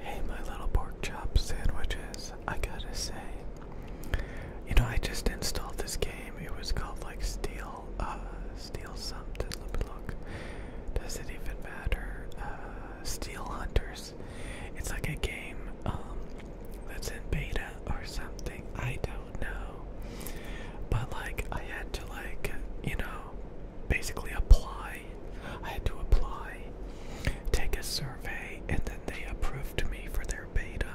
Hey, my little pork chop sandwiches. I gotta say, you know, I just installed this game. It was called like Steel, uh, Steel something. look. Does it even matter? Uh, Steel Hunters. It's like a game um, that's in beta or something. I don't know. But like, I had to like, you know, basically apply. I had to apply, take a survey, and then they approved me for their beta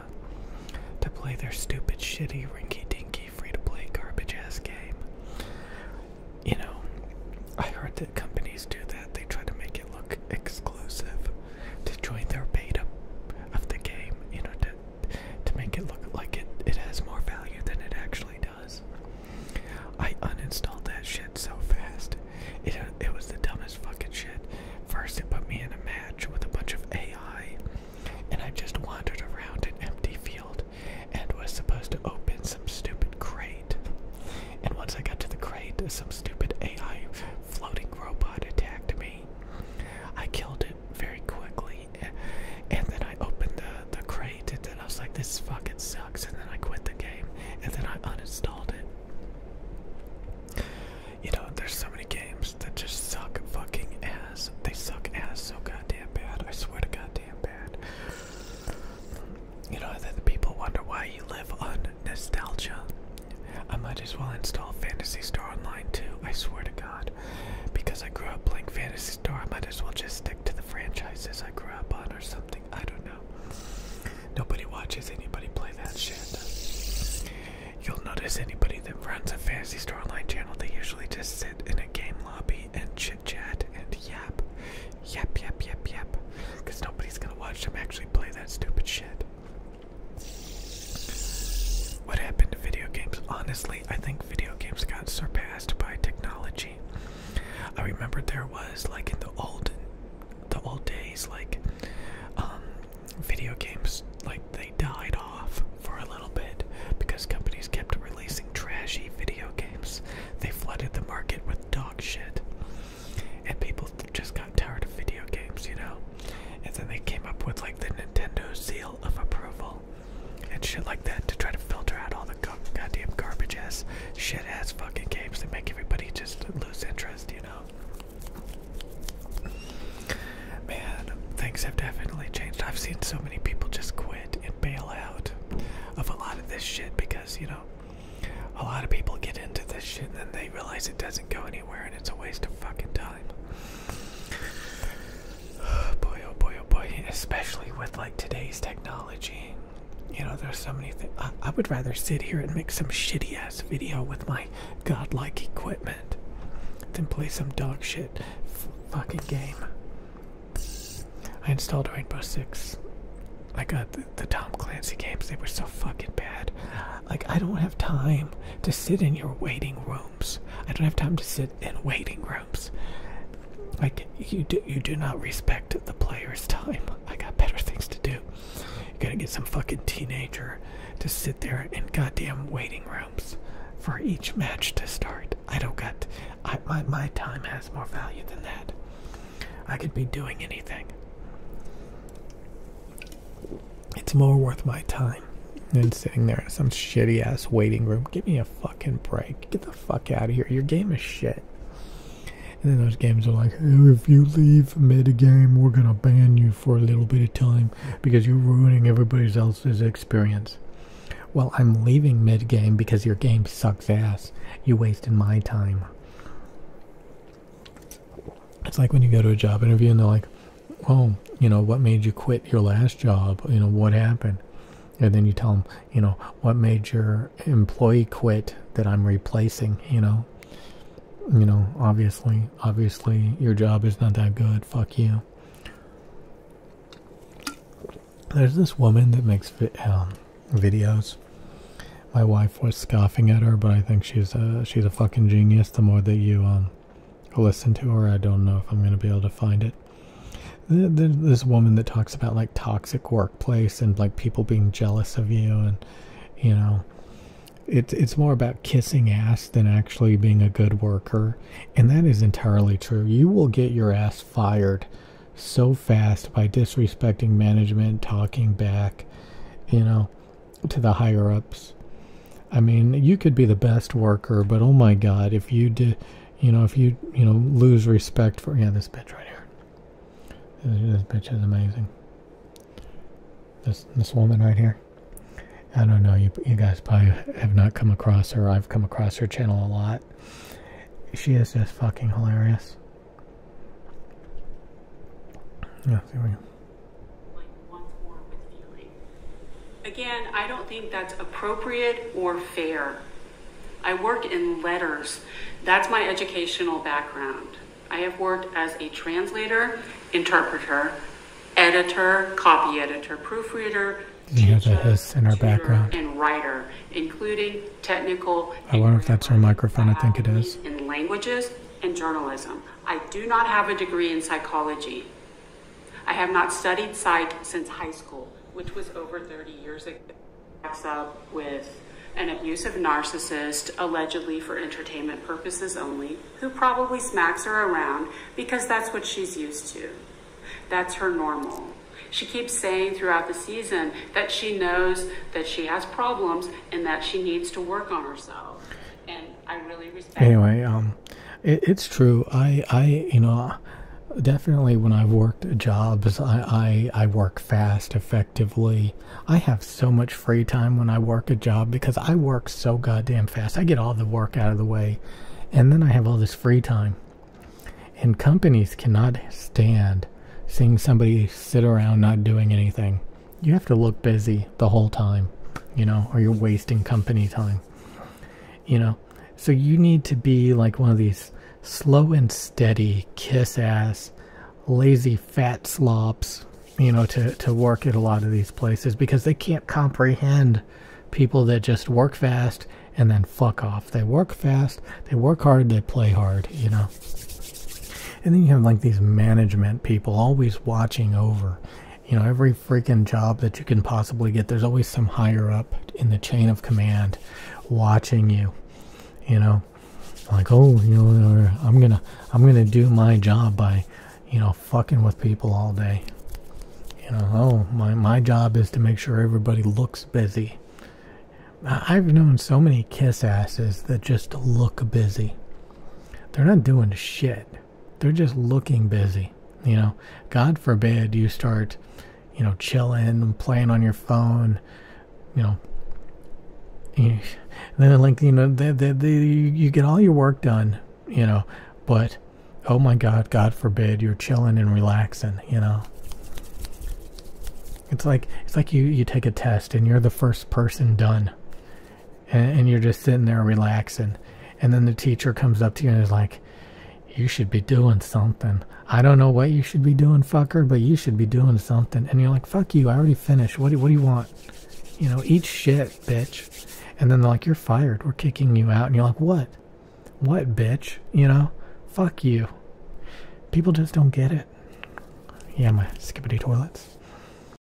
to play their stupid, shitty, rinky dinky, free to play, garbage ass game. You know, I heard that companies do that, they try to make it look exclusive to join their beta of the game, you know, to, to make it look like it, it has more value than it actually does. I uninstalled that shit so fast. It, it was the dumbest fucking shit. First, it put me in a match with a bunch of AI, and I just wandered around an empty field and was supposed to open some stupid crate. And once I got to the crate, some stupid AI floating robot attacked me. I killed it very quickly, and then I opened the, the crate, and I was like, this fucking sucks and then I quit the game, and then I uninstalled it. You know, there's so many games that just suck fucking ass. They suck ass so goddamn bad. I swear to goddamn bad. You know, that the people wonder why you live on nostalgia. I might as well install Fantasy Star Online too, I swear to God. Because I grew up playing Fantasy Star, I might as well just stick to the franchises I grew or something. I don't know. Nobody watches anybody play that shit. You'll notice anybody that runs a fancy Store Online channel, they usually just sit in a game lobby and chit chat and yap. Yap, yap, yap, yap. Because nobody's gonna watch them actually play that stupid shit. What happened to video games? Honestly, I think video games got surpassed by technology. I remember there was like in the old the old days like um, video games like they died off for a little bit because companies kept releasing trashy video games. They flooded the market with dog shit. And people just got tired of video games, you know? And then they came up with like the Nintendo seal of approval and shit like that to try to filter out all the goddamn garbage ass, shit ass fucking games that make everybody just lose interest, you know? Man, things have definitely changed. I've seen so many people just quit and bail out of a lot of this shit because, you know, a lot of people get into this shit and then they realize it doesn't go anywhere and it's a waste of fucking time boy, oh boy, oh boy, especially with like today's technology. You know, there's so many things. I, would rather sit here and make some shitty ass video with my godlike equipment than play some dogshit fucking game. I installed Rainbow Six. I got uh, the Tom Clancy games, they were so fucking bad. Like, I don't have time to sit in your waiting room I don't have time to sit in waiting rooms. Like you do, you do not respect the player's time. I got better things to do. You gotta get some fucking teenager to sit there in goddamn waiting rooms for each match to start. I don't got. my my time has more value than that. I could be doing anything. It's more worth my time and sitting there in some shitty ass waiting room. Give me a fucking break. Get the fuck out of here. Your game is shit. And then those games are like, if you leave mid game, we're gonna ban you for a little bit of time because you're ruining everybody else's experience. Well, I'm leaving mid game because your game sucks ass. You wasted my time. It's like when you go to a job interview and they're like, oh, you know, what made you quit your last job? You know, what happened? and then you tell them you know what made your employee quit that i'm replacing you know you know obviously obviously your job is not that good fuck you there's this woman that makes um, videos my wife was scoffing at her but i think she's a she's a fucking genius the more that you um, listen to, or I don't know if I'm going to be able to find it. This woman that talks about like toxic workplace and like people being jealous of you, and you know, it's it's more about kissing ass than actually being a good worker, and that is entirely true. You will get your ass fired so fast by disrespecting management, talking back, you know, to the higher ups. I mean, you could be the best worker, but oh my God, if you do, you know, if you, you know, lose respect for, yeah, this bitch right here. This, bitch is amazing. This, this woman right here. I don't know, you, you guys probably have not come across her. I've come across her channel a lot. She is just fucking hilarious. Yeah, see we Again, I don't think that's appropriate or fair. I work in letters. That's my educational background. I have worked as a translator, interpreter, editor, copy editor, proofreader, teacher, and writer, including technical. I wonder if that's our microphone. I think it is. In languages and journalism. I do not have a degree in psychology. I have not studied psych since high school, which was over 30 years ago. Backs up with an abusive narcissist, allegedly for entertainment purposes only, who probably smacks her around because that's what she's used to. That's her normal. She keeps saying throughout the season that she knows that she has problems and that she needs to work on herself. And I really anyway, um, it's true. I, I, you know, definitely when I've worked jobs, I, I, I work fast, effectively. I have so much free time when I work a job because I work so goddamn fast. I get all the work out of the way, and then I have all this free time. And companies cannot stand seeing somebody sit around not doing anything. You have to look busy the whole time, you know, or you're wasting company time. You know, so you need to be like one of these slow and steady kiss ass, lazy fat slops, you know, to, to work at a lot of these places because they can't comprehend people that just work fast and then fuck off. They work fast, they work hard, they play hard, you know. And then you have like these management people always watching over you know, every freaking job that you can possibly get, there's always some higher up in the chain of command watching you, you know, like, oh, you know, I'm gonna, I'm gonna do my job by, you know, fucking with people all day. You know, oh, my, my job is to make sure everybody looks busy. I've known so many kiss asses that just look busy. They're not doing shit. They're just looking busy. You know, God forbid you start, you know, chilling, and playing on your phone, you know. You, then, like, you know, they, they, they, you get all your work done, you know, but oh my God, God forbid you're chilling and relaxing, you know. It's like it's like you, you take a test and you're the first person done and, you're just sitting there relaxing and then the teacher comes up to you and is like you should be doing something i don't know what you should be doing fucker but you should be doing something and you're like fuck you i already finished what do, what do you want you know eat shit bitch and then they're like you're fired we're kicking you out and you're like what what bitch you know fuck you people just don't get it yeah my skippity toilets